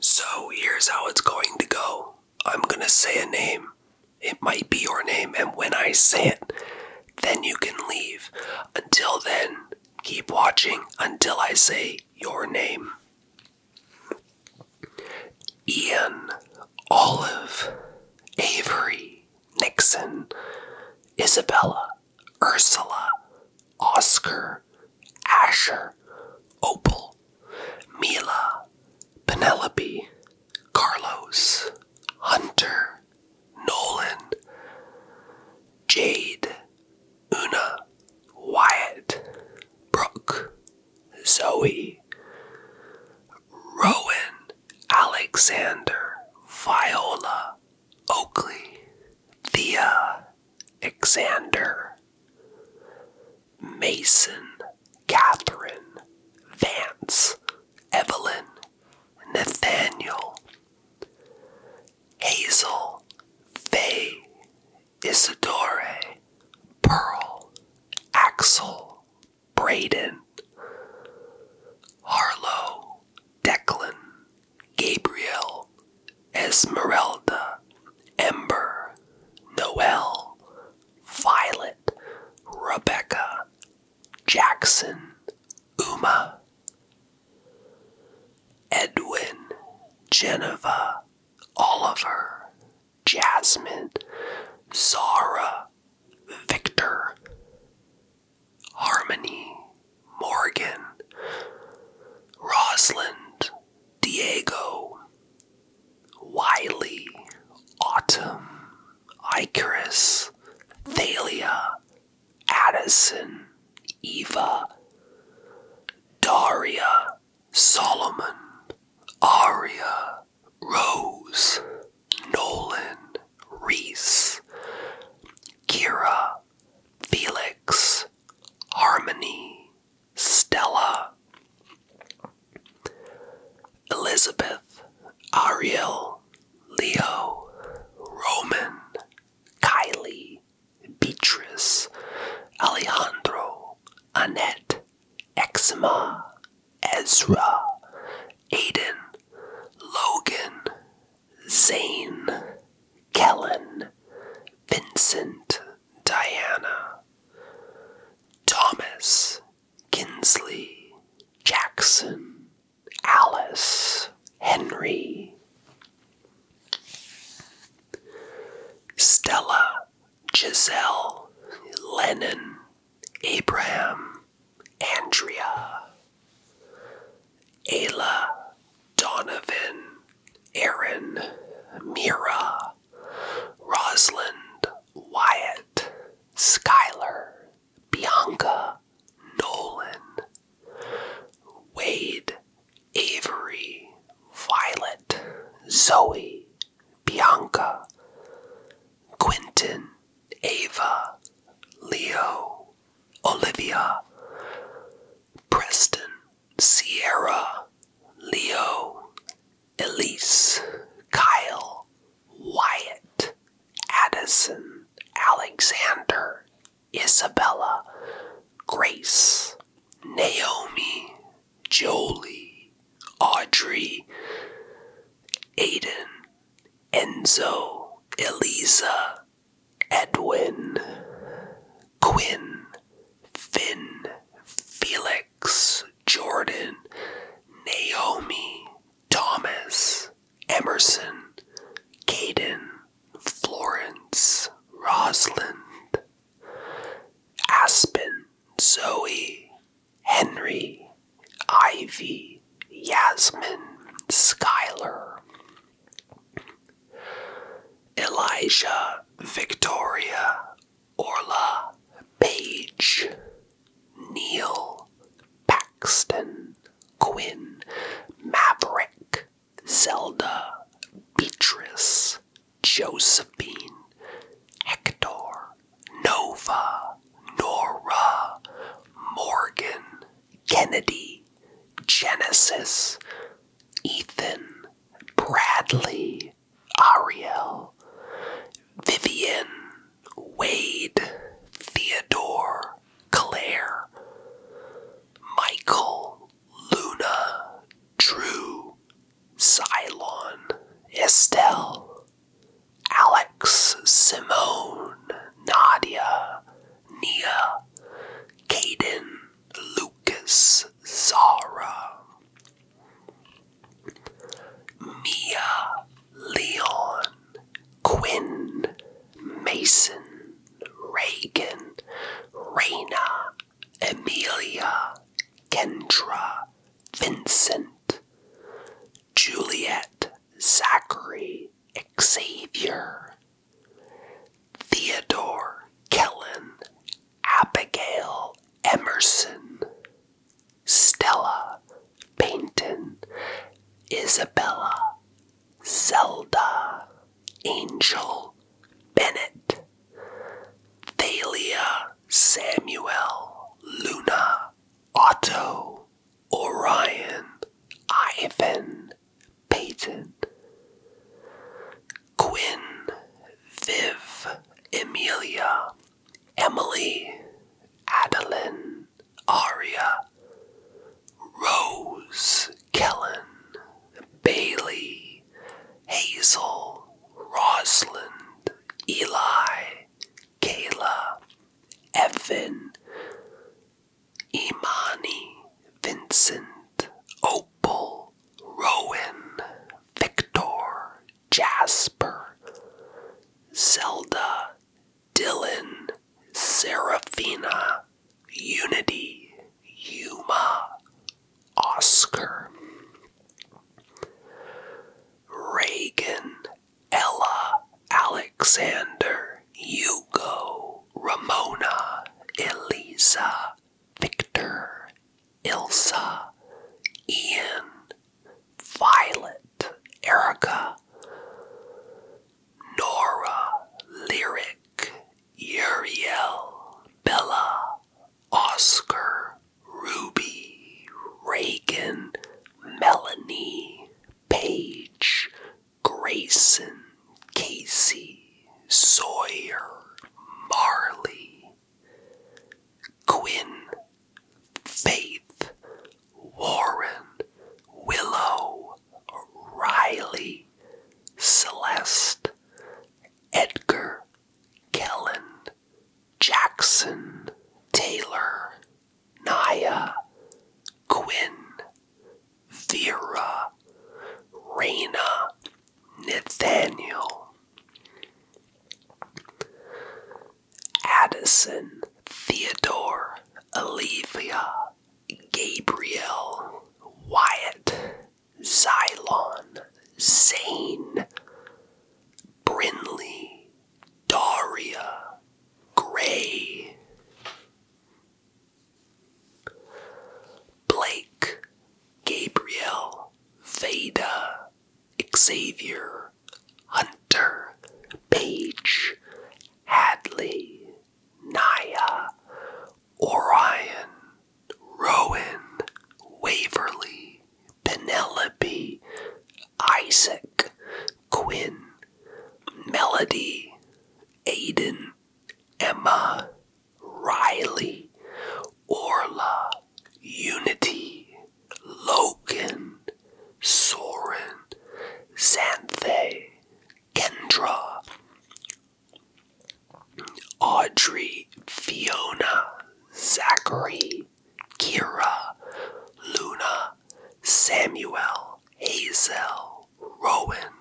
So here's how it's going to go. I'm going to say a name. It might be your name, and when I say it, then you can leave. Until then, keep watching until I say your name. Ian, Olive, Avery, Nixon, Isabella, Ursula, Oscar, Asher, Opal, Mila, Penelope, Carlos, Hunter, Nolan, Jade, Una, Wyatt, Brooke, Zoe, Rowan, Alexander, Viola, Oakley, Thea, Alexander, Mason, Catherine, Vance, Evelyn, Nathaniel, Hazel, Fay, Isidore, Pearl, Axel, Braden, Harlow, Declan, Gabriel, Esmeralda, Ember, Noel, Violet, Rebecca, Jackson, Uma, Edwin, Geneva, Oliver, Jasmine, Zara, Victor, Harmony, Morgan, Rosalind, Diego, Wiley, Autumn, Icarus, Thalia, Addison, Eva, Daria, Solomon, Aria, Rose, Nolan, Reese, Kira, Felix, Harmony, Stella, Elizabeth, Ariel, Leo, Roman, Kylie, Beatrice, Alejandro, Annette, Eczema, Ezra, Aiden, Logan, Zane, Kellen, Vincent, Diana, Thomas, Kinsley, Jackson, Alice, Henry, Stella, Giselle, Lennon, Abraham, Andrea, Ayla, Donovan, Aaron, Mira, Rosalind, Wyatt, Skylar, Bianca, Nolan, Wade, Avery, Violet, Zoe, Bianca, Quentin, Ava, Leo, Olivia, Preston, Sierra, Leo, Elise, Kyle, Wyatt, Addison, Alexander, Isabella, Grace, Naomi, Jolie, Audrey, Aiden, Enzo, Eliza, Edwin, Quinn, Finn, Felix, Jordan, Naomi, Thomas, Emerson, Caden, Florence, Rosalind, Aspen, Zoe, Henry, Ivy, Yasmin, Skylar, Elijah Victoria Orla Page Neil Paxton Quinn Maverick Zelda Beatrice Josephine Hector Nova Nora Morgan Kennedy Genesis Ethan Bradley, Ariel, Vivian, Wade, Theodore, Claire, Michael, Luna, Drew, Cylon, Estelle, Alex, Simone, Nadia, Nia, Caden, Lucas, Zara. Mia Leon, Quinn, Mason, Reagan, Reina, Amelia, Kendra, Vincent, Juliet, Zachary, Xavier, Theodore, Kellen, Abigail Emerson, Stella Payton, Isabella, Zelda, Angel Bennett, Thalia Samuel, Luna, Otto, Orion, Ivan, Payton. Quinn, Viv, Emilia, Emily, Adeline, Aria, Rose, Kellen, Bailey, Hazel, Rosalind, Eli, Kayla, Evan, Imani, Vincent, Owen. Opal, Rowan, Victor, Jasper, Zelda, Dylan, Seraphina, Unity, Yuma, Oscar, Reagan, Ella, Alexander, Hugo, Ramona, Eliza. Victor, Ilsa, Ian, Violet, Erica, Nora, Lyric, Uriel, Bella, Oscar, Ruby, Reagan, Melanie, Paige, Grayson, Casey, Sawyer, Marley, Quinn, Faith, Warren, Willow, Riley, Celeste, Edgar, Kellen, Jackson, Taylor, Naya, Quinn, Vera, Raina, Nathaniel Addison Theodore Olivia Gabriel Wyatt Xylon Zane Brinley Daria Gray Blake, Gabriel, Veda, Xavier, Hunter, Page, Hadley, Naya, Orion, Rowan, Waverly, Penelope, Isaac, Quinn, Melody, Aiden, Emma, Riley, Orla, Unity, Logan, Soren, Xanthe, Kendra, Audrey, Fiona, Zachary, Kira, Luna, Samuel, Hazel, Rowan,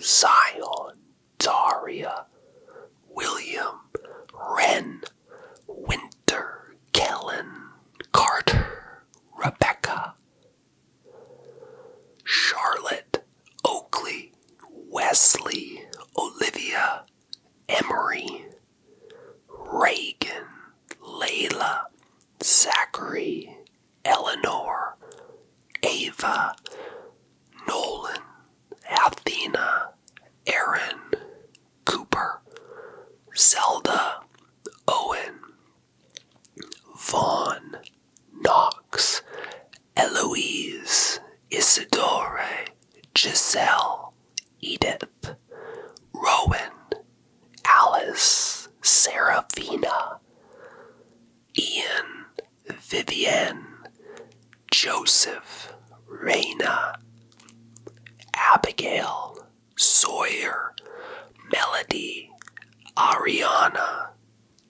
Zion, Daria, William, Wren, Winter, Kellen, Carter, Rebecca, Charlotte, Oakley, Wesley, Olivia, Emery, Reagan, Layla, Zachary, Eleanor, Ava, Nolan, Athena, Aaron, Cooper, Zelda, Owen, Vaughn, Knox, Eloise, Isidore, Giselle, Edith, Rowan, Alice, Seraphina, Ian, Vivienne, Joseph, Raina, Abigail, Sawyer, Melody, Ariana,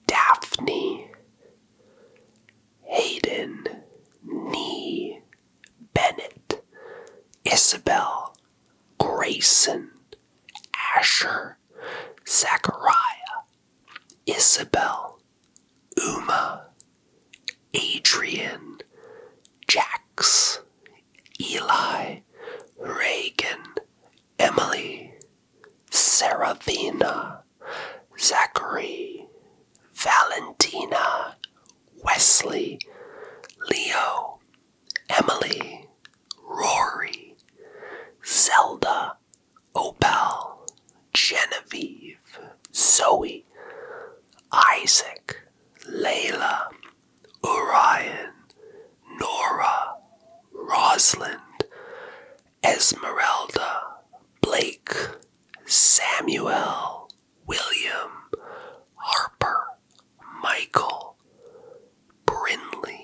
Daphne, Hayden, Nee, Bennett, Isabel, Grayson, Asher, Zachariah, Isabel, Uma, Adrian, Jax, Eli, Reagan, Emily, Serafina, Zachary, Valentina, Wesley, Leo, Emily, Rory, Zelda, Opal, Genevieve, Zoe, Isaac, Layla, Orion, Nora, Rosalind, Esmeralda, Blake, Samuel, William, Harper, Michael, Brinley.